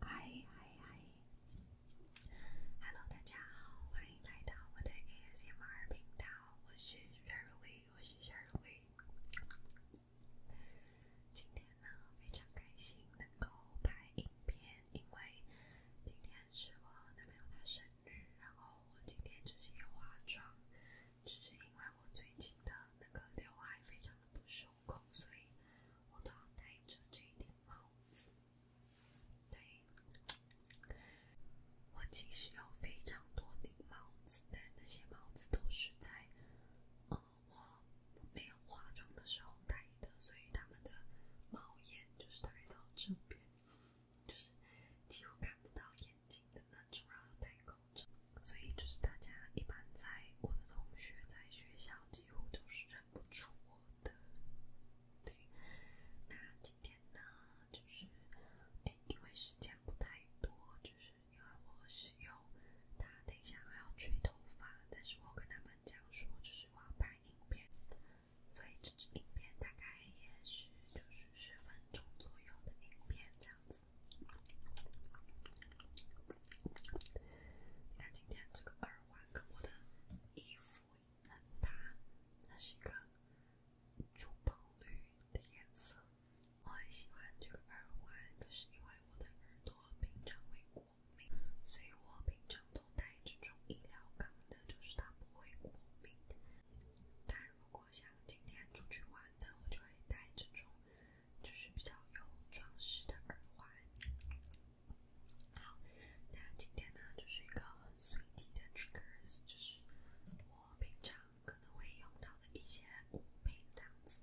嗨嗨嗨！Hello，大家好，欢迎来到我的 ASMR 频道，我是 Shirley，我是 Shirley。今天呢，非常开心能够拍影片。因为今天是我男朋友的生日，然后我今天就是化妆，只是因为我最近的那个刘海非常的不收口，所以我都要戴着这一顶帽子。对，我其实有非常多顶帽子，但那些帽子都是在呃我没有化妆的时候戴的，所以他们的帽檐。就是戴到这边，就是几乎看不到眼睛的那种，然后戴口罩，所以就是大家一般在我的同学在学校几乎都是认不出我的。对，那今天呢，就是，因为时间不太多，就是因为我是有，打等一下还要吹头发，但是我跟他们讲说，就是我要拍。影片，所以这支影片大概也是就是十分钟左右的影片这样子。你看今天这个耳环跟我的衣服很搭，它是一个珠宝绿的颜色，我很喜欢这个耳环，就是因为我的耳朵平常为骨。过敏，所以我平常都戴这种医疗钢的，就是它不会过敏。但如果像今天出去玩的，我就会戴这种，就是比较有装饰的耳环。好，那今天呢就是一个很随机的 triggers，就是我平常可能会用到的一些物品这样子。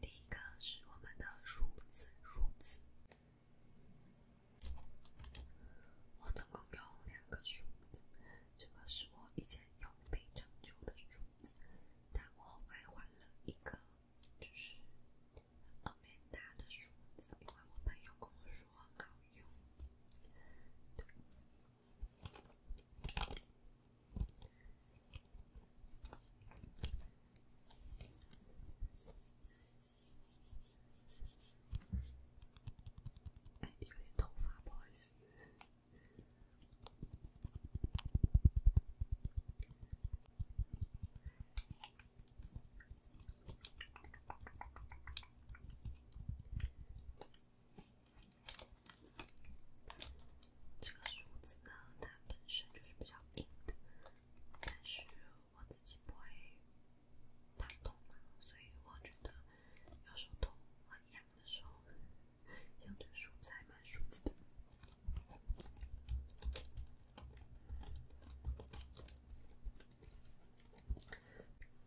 第一个是我们的梳子，梳子。我总共有两个梳子，这个是我以前用非常旧的梳子，但我后来换了一颗，就是欧美大的梳子，因为我朋友跟我说好用。哎，有点头发，boys。这个梳子呢，它本身就是比较硬的，但是我自己不会怕痛嘛，所以我觉得，有时候头很痒的时候，用这梳子还蛮舒服的。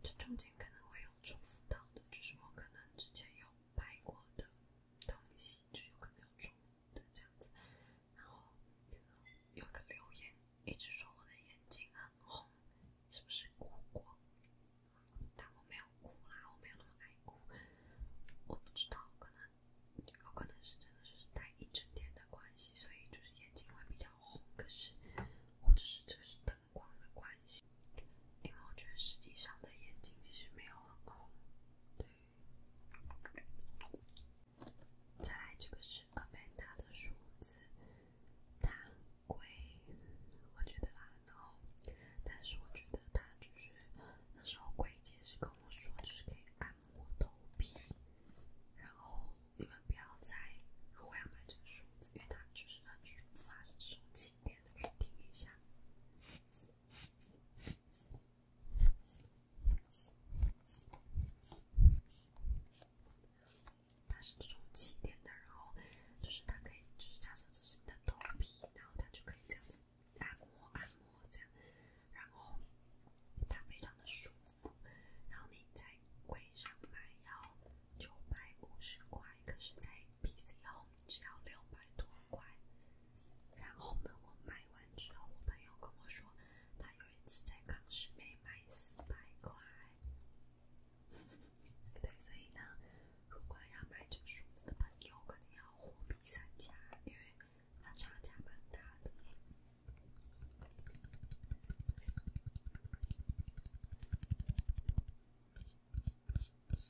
这中间可能会有重复到的，就是我可能之前有拍过的。东西就是有个比较重的这样子，然后有个留言一直说我的眼睛很红，是不是哭过？但我没有哭啦，我没有那么爱哭，我不知道，可能有可能是真的是戴一整天的关系，所以就是眼睛会比较红，可是或者是这是灯光的关系，因为我觉得实际上的眼睛其实没有很哭，对。再来这个是阿曼达的梳子，它贵，我觉得啦。然后，但是我觉得它就是那时候桂姐是跟我说，就是可以按摩头皮。然后你们不要在，如果要买这个梳子，因为它就是很舒服啊，是这种轻点的，可以听一下。它是这种气垫的，然后就是它可以，就是假设这是你的头皮，然后它就可以这样子按摩按摩这样，然后它非常的舒服。然后你在柜上买要九百五块，可是在 PC 上。只要六百多块，然后呢，我买完之后，我朋友跟我说，他有一次在康师傅买四百块，对不对？所以呢，如果要买这书的朋友，肯定要货比三家，因为它差价蛮大的。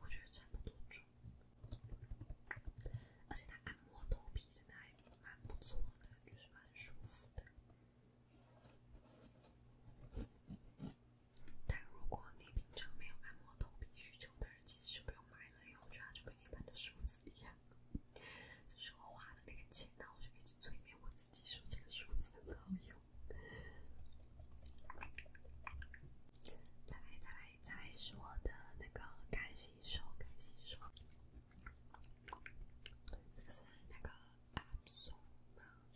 我觉得差不多而且它按摩头皮真的还蛮不错的，就是蛮舒服的。但如果你平常没有按摩头皮需求的人，其实就不用买了，用起来就跟一般的梳子一这是我花了那个钱，然后我就一直催眠我自己。技术这个数字很好用。来来来，说我的那个干吸收，干吸收，这个是那个是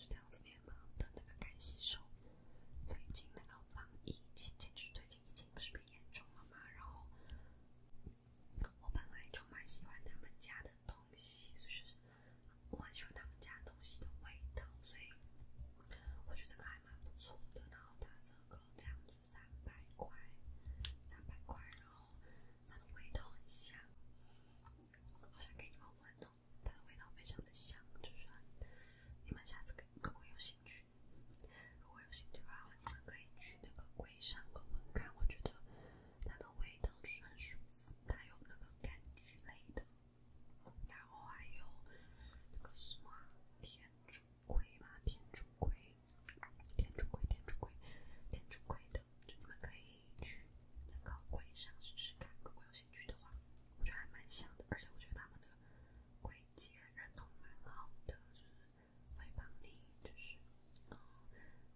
这样子念吗？它的那个干吸收，最近那个防疫情，就是最近疫情不是变严重了吗？然后我本来就蛮喜欢他们家的。东西就是我很喜欢他们家东西的味道，所以我觉得这个还蛮不错的。然后它这个这样子三百块，三百块，然后它的味道很香。我想给你们闻闻，它的味道非常的香，就是你们下次可可不可以有兴趣，如果有兴趣的话，你们可以去那个柜上闻闻看，我觉得它的味道就是很舒服。它有那个柑橘类的，然后还有那个什么天竺葵吧，天竺葵，天竺葵，天竺葵，天竺葵的，就你们可以去那个柜上试试看，如果有兴趣的话，我觉得还蛮香的，而且我觉得他们的柜姐人都蛮好的，就是会帮你，就是。哦，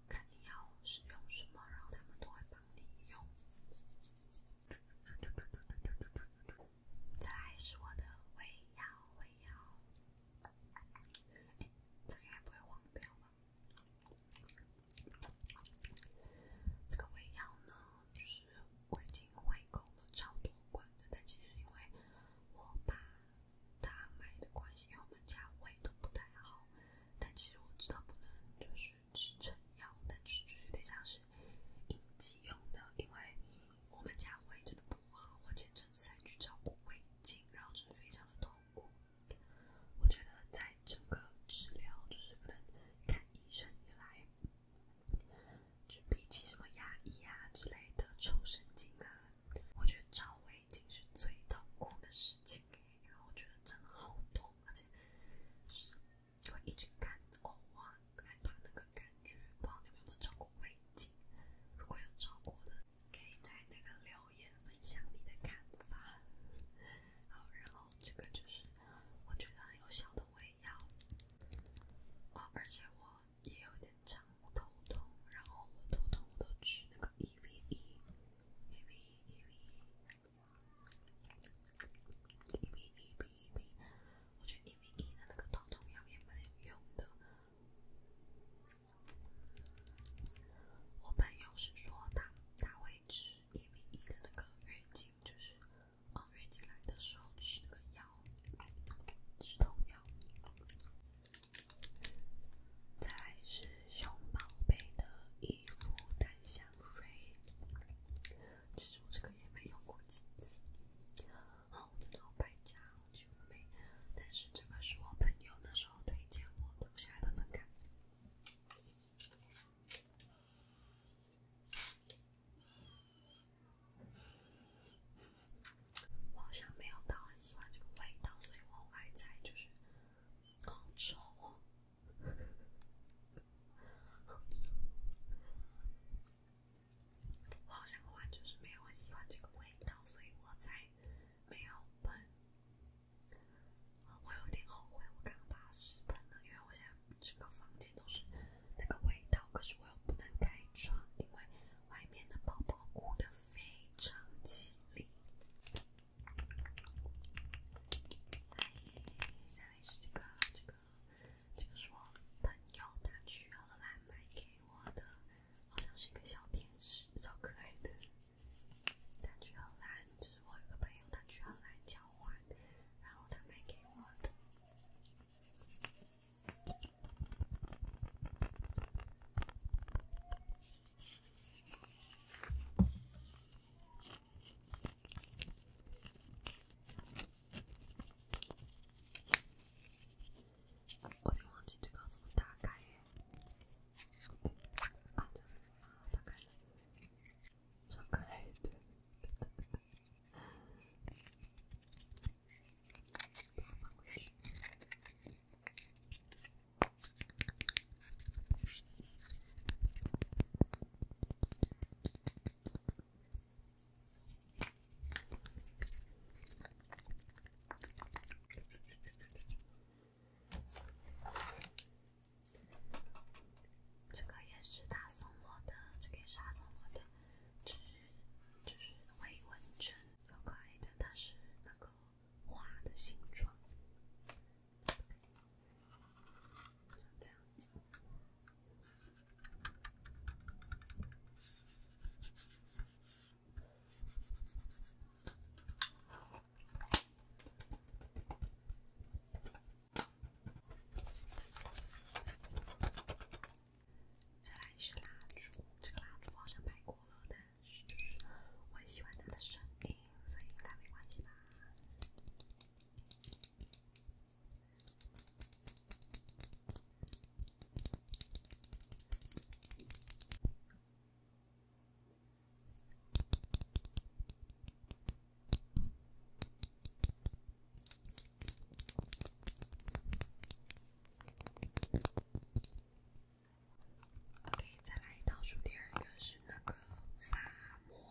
看你要使用什么，然后他们都会帮你用。再来是我的微药，微药，这个也不会忘，不要忘。这个微药呢，就是我已经回购了超多罐的，但其实因为我怕。他买的关心，我们家胃都不太好。但其实我知道不能就是吃撑药，但是就有点像是应急用的，因为我们家胃真的不好。我前阵子才去照顾胃镜，然后就是非常的痛苦。我觉得在整个治疗，就是可能看医生以来，就比起什么牙医啊之类的抽神经啊。我觉得找胃镜是最痛苦的事情，因为我觉得真的好痛，而且是会一直干呕啊，害怕那个感觉。不知道你们有没有找过胃镜？如果有找过的，可以在那个留言分享你的看法。好，然后这个就是我觉得很有效的胃药。哦，而且我也有点常头痛，然后我头痛我都吃那个 EVE。一米一米一米一米一米，我觉得一米一的那个止痛药也蛮有用的。我朋友是说他他会吃一米一的那个月经，就是嗯月经来的时候吃个药止痛药。再来是熊宝贝的衣服淡香水，其实我这个也没用过几次，好，我真的好败家，好久没，但是这个是我朋友那时候推荐我的，我下来闻闻看。我好像没有到很喜欢这个味道，所以我后来就是好臭 我好像话就是没有很喜欢这个味道，所以我才没有喷。我有点后悔我刚刚把喷了，因为我现在整个房间都是那个味道，可是我又不能开窗，因为外面的宝宝哭的。非常吉利。哎，再来是这个，这个，这个是我朋友他去荷兰买给我的，好像是一个小天使，比较可爱的。他去荷兰，就是我有个朋友他去荷兰交换，然后他买给我的。我得忘记这个怎么打开呀？啊，打开，打开。这个也是他送我的，这个也是他送我的，就是就是维稳针。好可爱的，它是那个花的形状，就这样。再来是蜡烛，这个蜡烛好像拍过了，但是我很喜欢它的声音，所以应该没关系吧。OK，再来倒数第二个是那个发膜，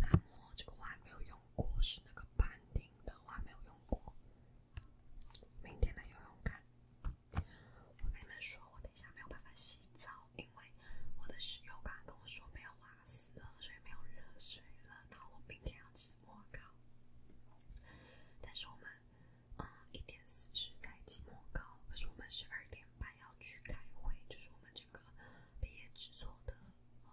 发膜这个我还没有用过，是那个板丁的，我还没有用过。明天来用用看。你们说，我等一下没有办法洗澡，因为我的室友刚刚跟我说没有花死所以没有热水了。然后我明天要洗。模考，但是我们，嗯，一点四十才进模考，可是我们十二点半要去开会，就是我们整个毕业制作的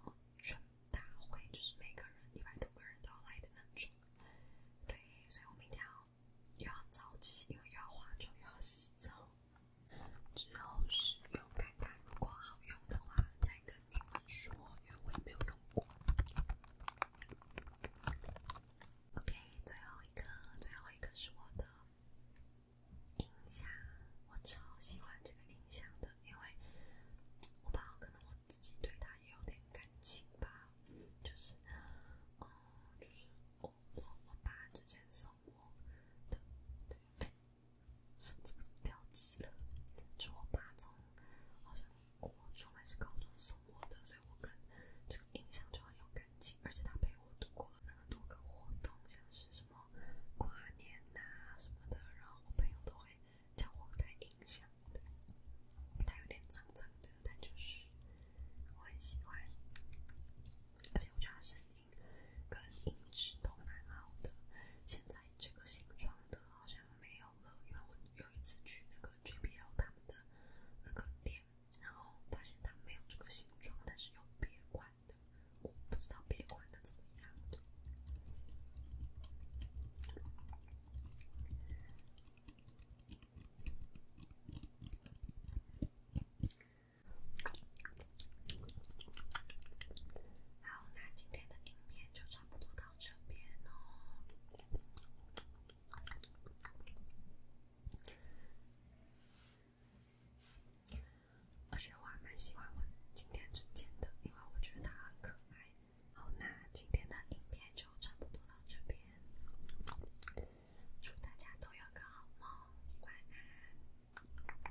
呃全大会，就是每个人一百多个人都要来的那种。对，所以我们一定要又要早起，因为又要化妆，又要洗澡，之后是用看看如果好用的话再跟。你们说，因为我也没有用过。OK，最后一个，最后一个是我的音响，我超喜欢这个音响的，因为，我爸可能我自己对他也有点感情吧，就是，哦，就是我我我爸之前送我的，对，是这个掉级了，就我爸从好像。我从来是高中送我的，所以我跟这个音响就很有感情，而且它陪我度过了那么多个活动，像是什么跨年呐什么的，然后我朋友都会叫我带音响。它有点脏脏的，但就是我很喜欢，而且我觉得它声音跟音质都蛮好的。现在这个新装的好像没有。因为我有一次去那个 JBL 他们的那个店，然后发现他没有这个形状，但是有别款的，我不知道别款的怎么样。好，那今天的影片就差不多到。到这边哦，而且我还蛮喜欢我今天剪的，因为我觉得它很可爱。好，那今天的影片就差不多到这边，祝大家都有个好梦，晚安。